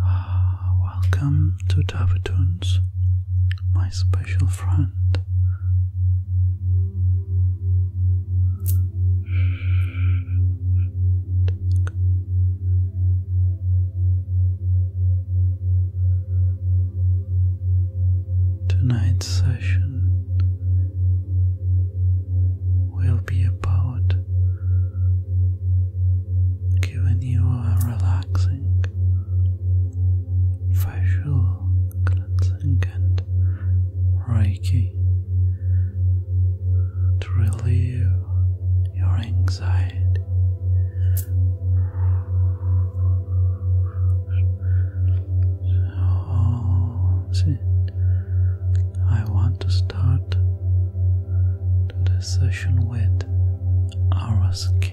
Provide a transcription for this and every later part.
Ah, welcome to Tavatoons, my special friend. Tonight's session will be about giving you a relaxing, facial cleansing and reiki to relieve your anxiety. So, I want to start to the session with our skin.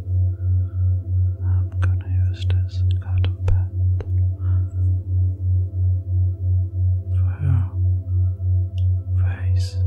I'm gonna use this cotton pad for your face. Perfect.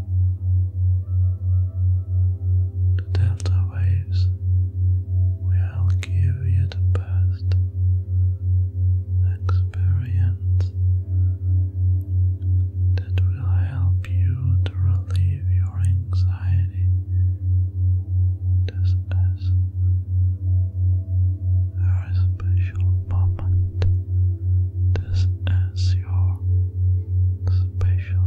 The delta waves will give you the best experience that will help you to relieve your anxiety. This is a special moment. This is your special.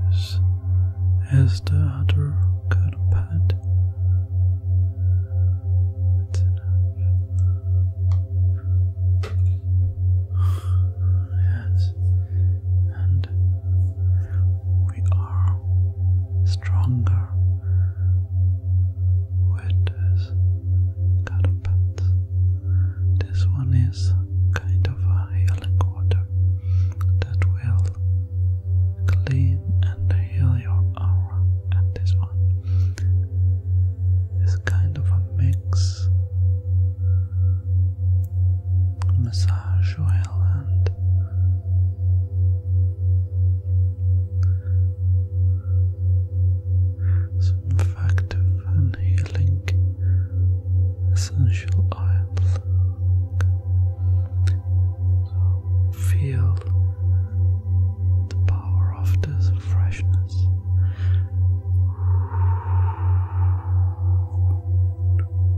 This is the other kind of pad. Yes, and we are stronger with this This one is kind of a healing water that will clean and heal your aura. And this one is kind of a mix massage oil and some effective and healing essential oil. feel the power of this freshness.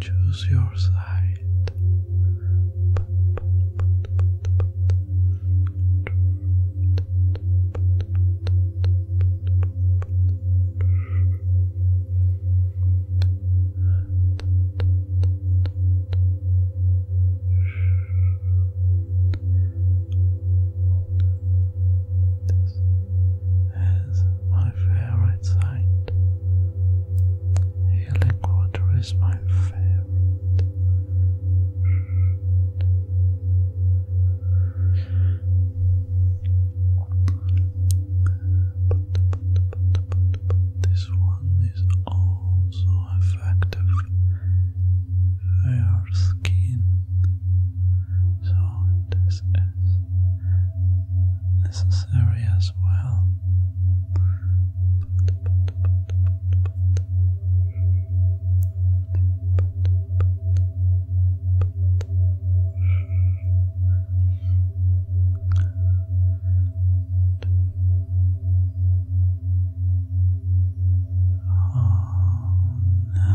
Choose your side. This is my favorite site. Healing water is my favorite. this one is also effective for your skin. So this is necessary as well. Oh, ah, no.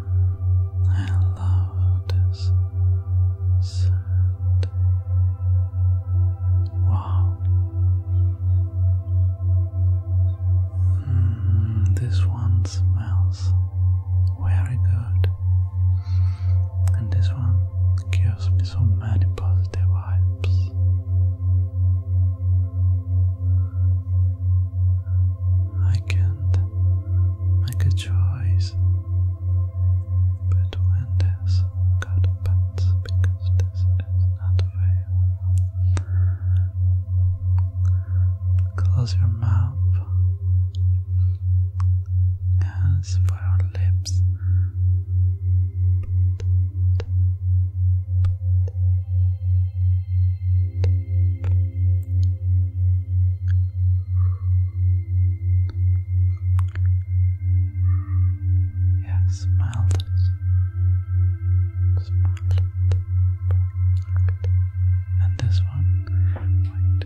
Hello, this sand. Wow. Hmm, this one smells very good, and this one gives me so many positive vibes. I can't make a choice between this cut because this is not fair. Close your mouth. As for your lips, yeah, smell this. And this one. Wait.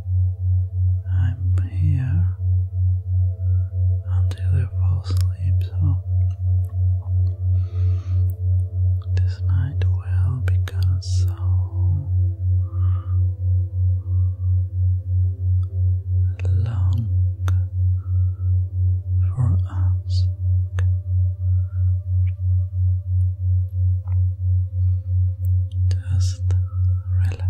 I'm here until you fall asleep, so this night will become so long for us. Just relax.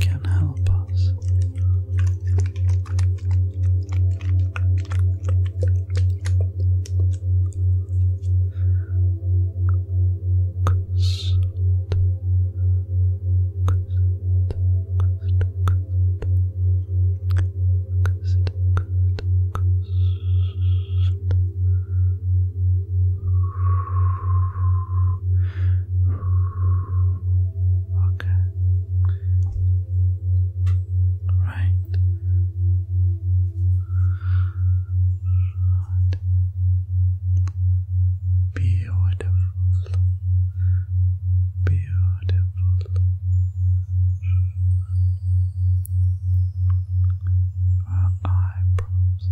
can help us. Okay. Right. Beautiful. Beautiful. eyebrows.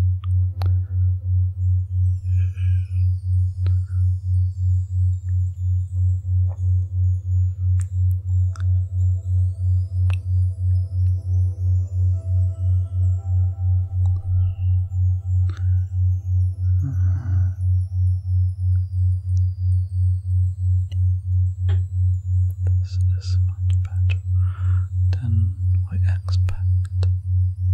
This is much better than we expect.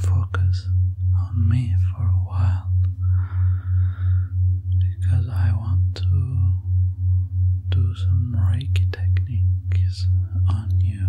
focus on me for a while because I want to do some Reiki techniques on you.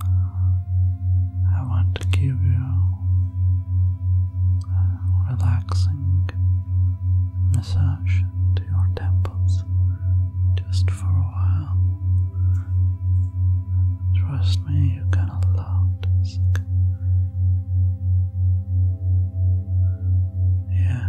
I want to give you a relaxing massage to your temples just for a while. Trust me, you can allow this. Yeah.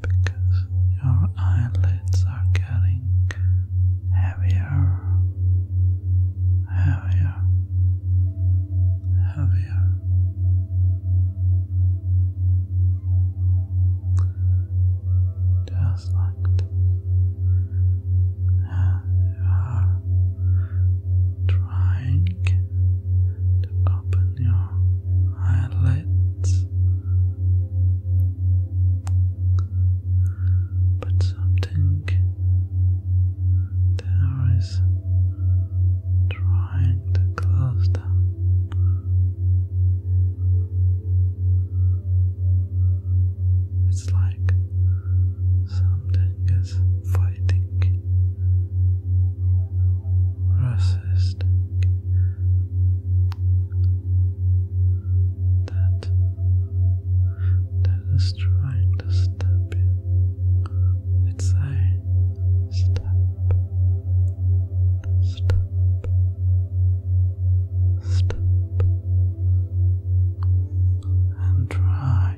because your eyelids are getting heavier, heavier, heavier. Just like you are trying to open your eyelid but something there is trying to close them. It's like something is fighting, resisting that that is trying to stop you. It's a stop, stop, stop, and try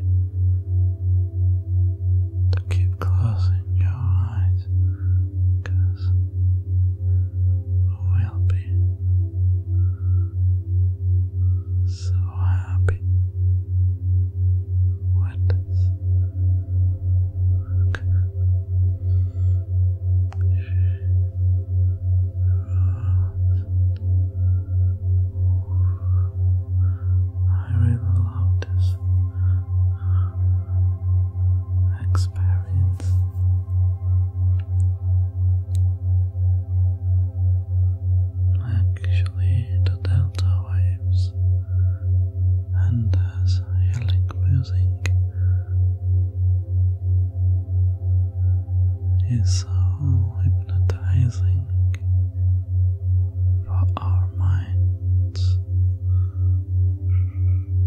to keep closing your eyes is, or will be, so happy with I really love this Actually, the delta waves and there's healing music is so hypnotizing for our minds.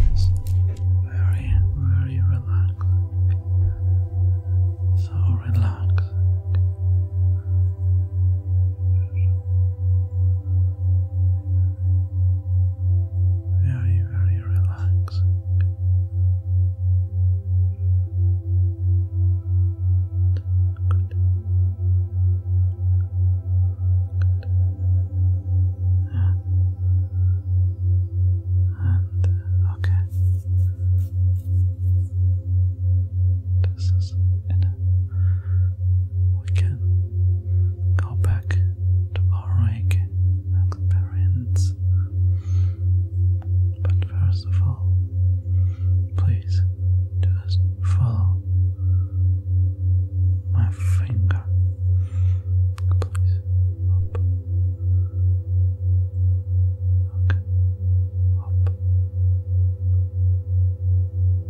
Just very, very relaxed. So relaxed. Very, very relaxed. And okay. This is enough. We can go back to our rake and But first of all, please just follow my finger. Please. Up. Okay. Up.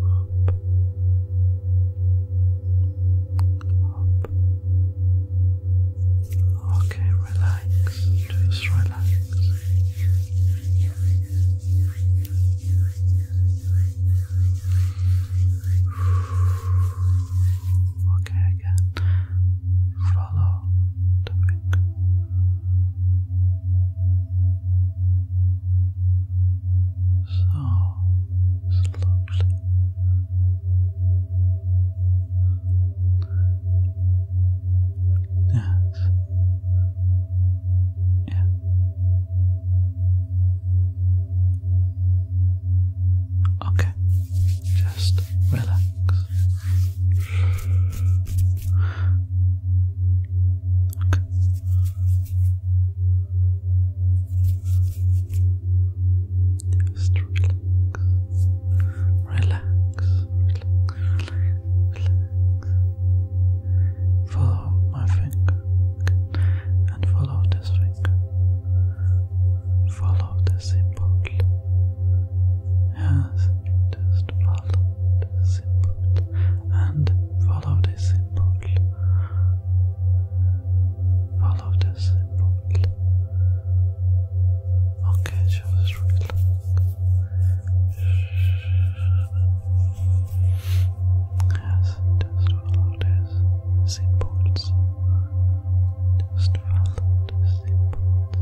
Up. Up. Okay, relax, just relax. Okay, again, follow So slowly. Yes. Yeah. Okay. Just relax. Okay. Just relax. Relax. Relax. Relax. Relax. Follow my finger. And follow this finger. Follow the symbol. Yes, just follow the symbol. And follow the symbol. Follow the symbol. Okay, just relax. Yes, just follow these symbols. Just follow the symbols.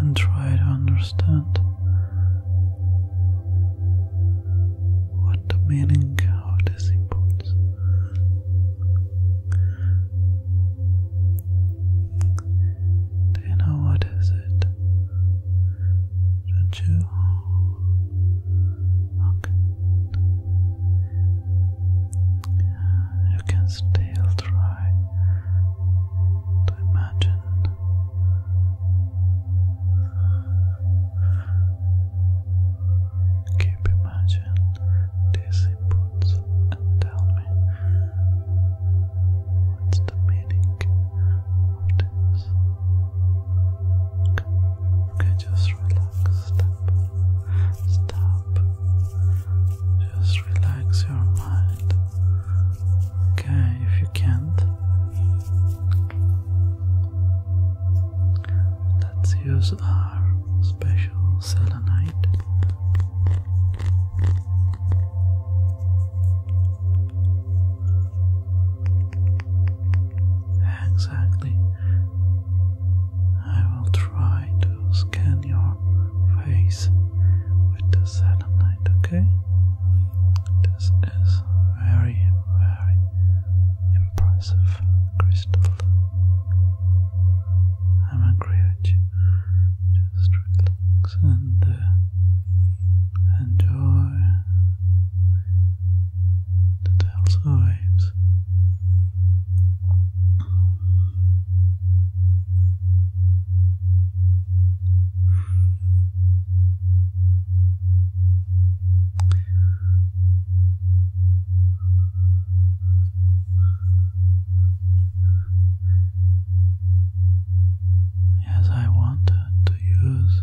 And try to understand what the meaning of the symbols do you know what is it? Don't you? Okay. You can still try to imagine. Keep imagining these inputs and tell me what's the meaning of this. Okay, just relax. Stop. Stop. Just relax your mind. Okay, if you can't. Let's use our special selenite. Exactly. I will try to scan your face with the selenite, okay? This is very, very impressive crystal. I'm angry at you. Just relax and uh, enjoy the Delta waves. Yes, I wanted to use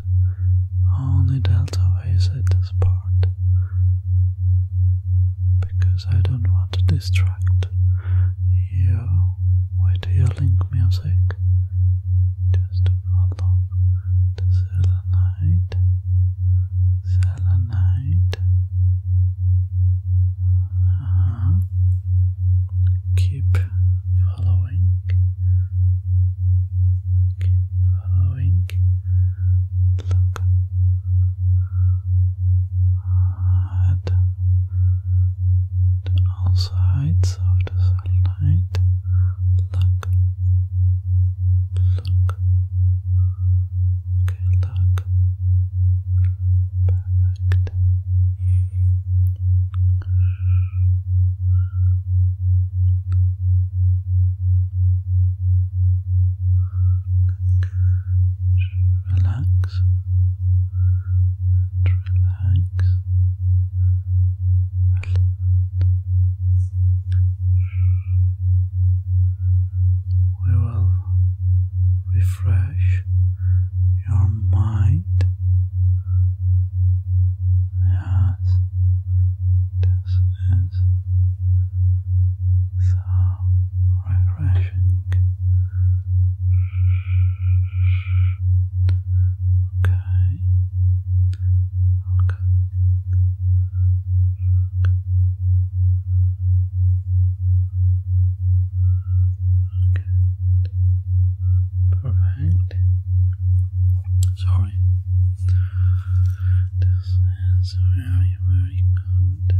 only delta waves at this part because I don't want to distract you with your link music. Just follow selenite, selenite, uh -huh. Keep following. Keep following. Look at all sides of the satellite. Look. Look look. Perfect. Relax relax. Relax we will refresh your mind. Yes, this is so refreshing. Okay. Okay. Okay. Good. Perfect. Sorry. This is very, very Good.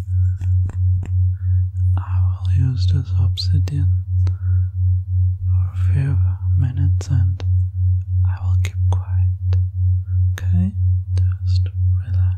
I will use this obsidian for a few minutes and I will keep quiet. Okay? Just relax.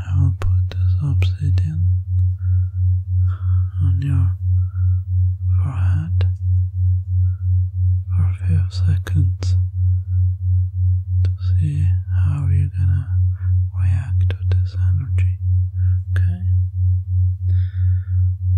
I will put this obsidian on your forehead for a few seconds to see how you're gonna react to this energy. Okay?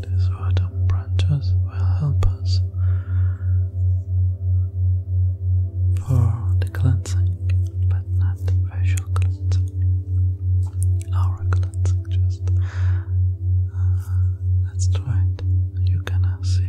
These autumn branches will help us for the cleansing, but not facial cleansing. Our cleansing, just let's uh, try it. You can see.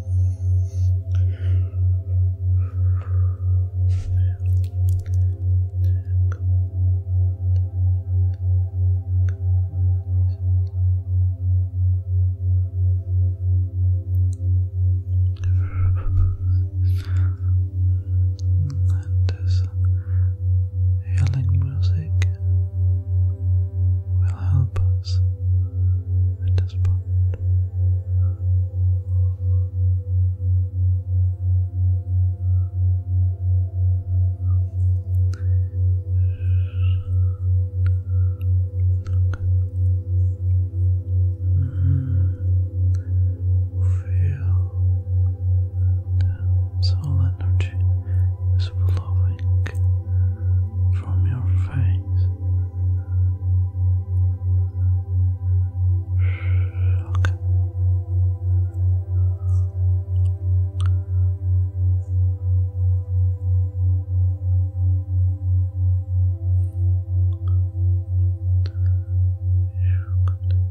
and this healing music will help us at this point. Mm-hmm. Feel that soul energy is flowing from your face. Okay. Good. Good.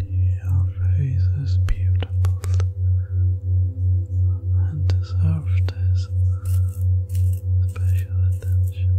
Your face is beautiful and deserves this special attention.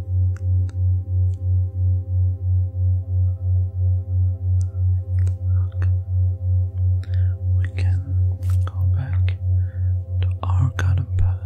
Okay. We can go back to our garden path.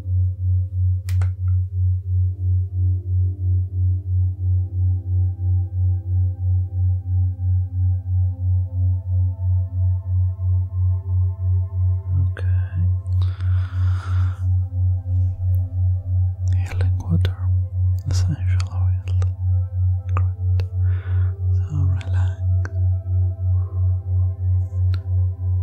Okay. Healing water, essential oil. Great. So relax.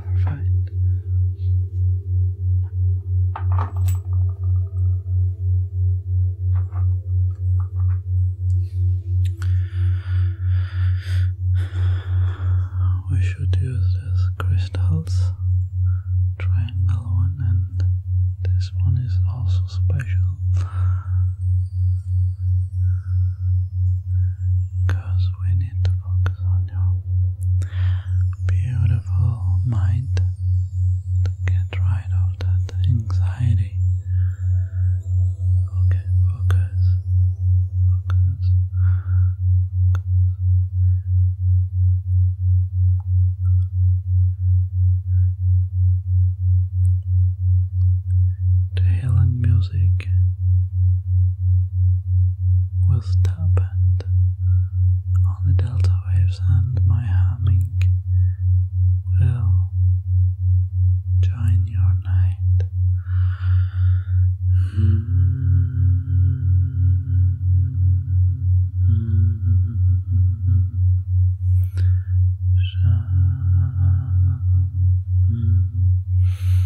Perfect. We should use these crystals, triangle one, and this one is also special. Because we need to focus on your beautiful mind to get rid of that anxiety. Okay, focus, focus, focus. The healing music was dampened on the delta waves and my humming will join your night. Mm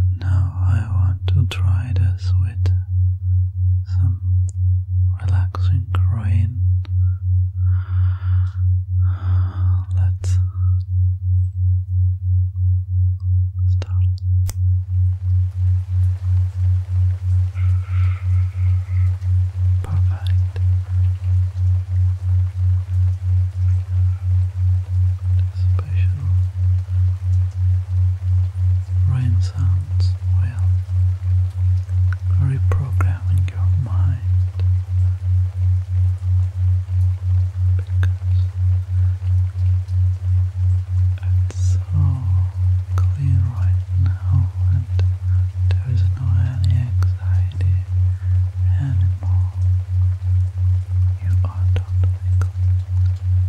And now I want to try this with some relaxing groin. Let's start. Perfect. Special rain sounds well. Reprogramming your mind because it's so clean right now, and there is no any anxiety anymore. You are totally clean.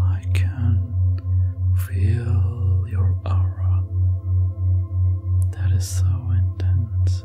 I can feel your aura that is so intense.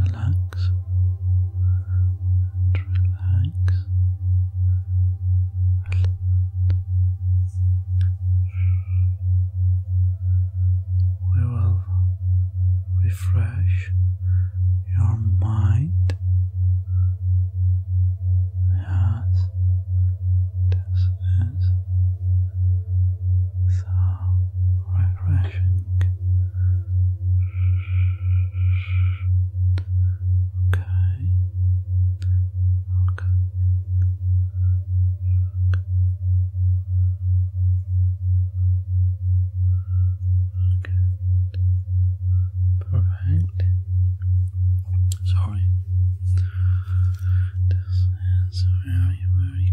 relax relax. We will refresh your mind. Yes, this is so refreshing. Okay. Okay. Okay. Perfect. Sorry. This is very, very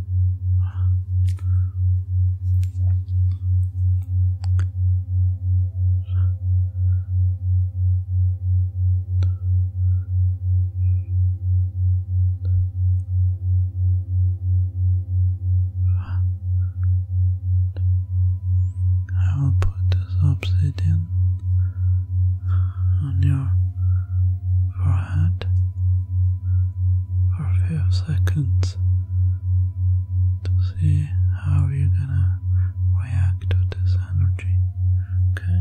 I will put this obsidian on your forehead for a few seconds to see how you're gonna react to this energy. Okay?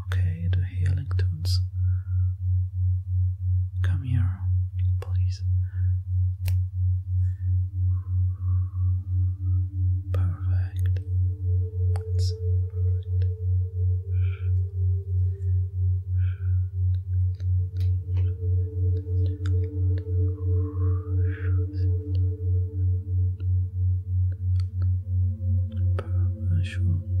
okay? The healing tunes. Come here, please. Perfect. That's perfect. Perfect.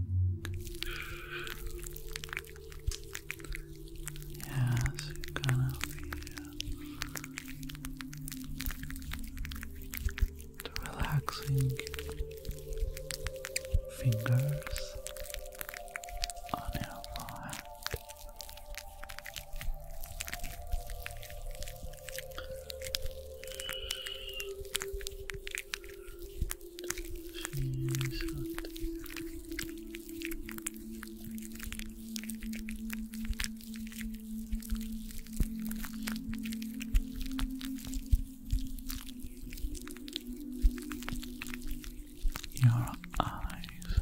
Yes, you're gonna feel the relaxing fingers on your forehead. She's hot. Your eyes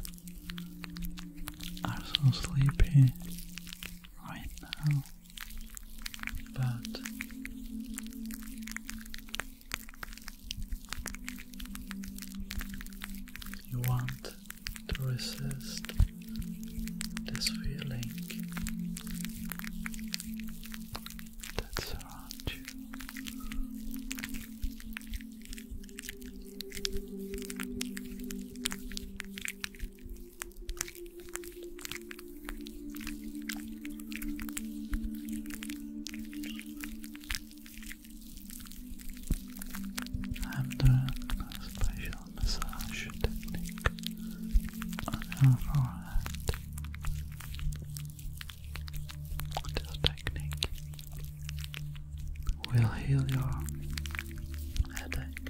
are so sleepy right now but you want to resist this feeling that surrounds you. I'm doing uh, a special massage technique on your forehead. This technique will heal your headache.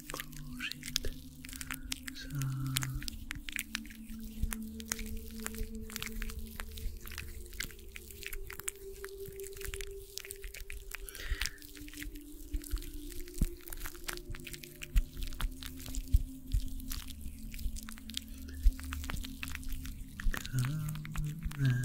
close it. So Come mm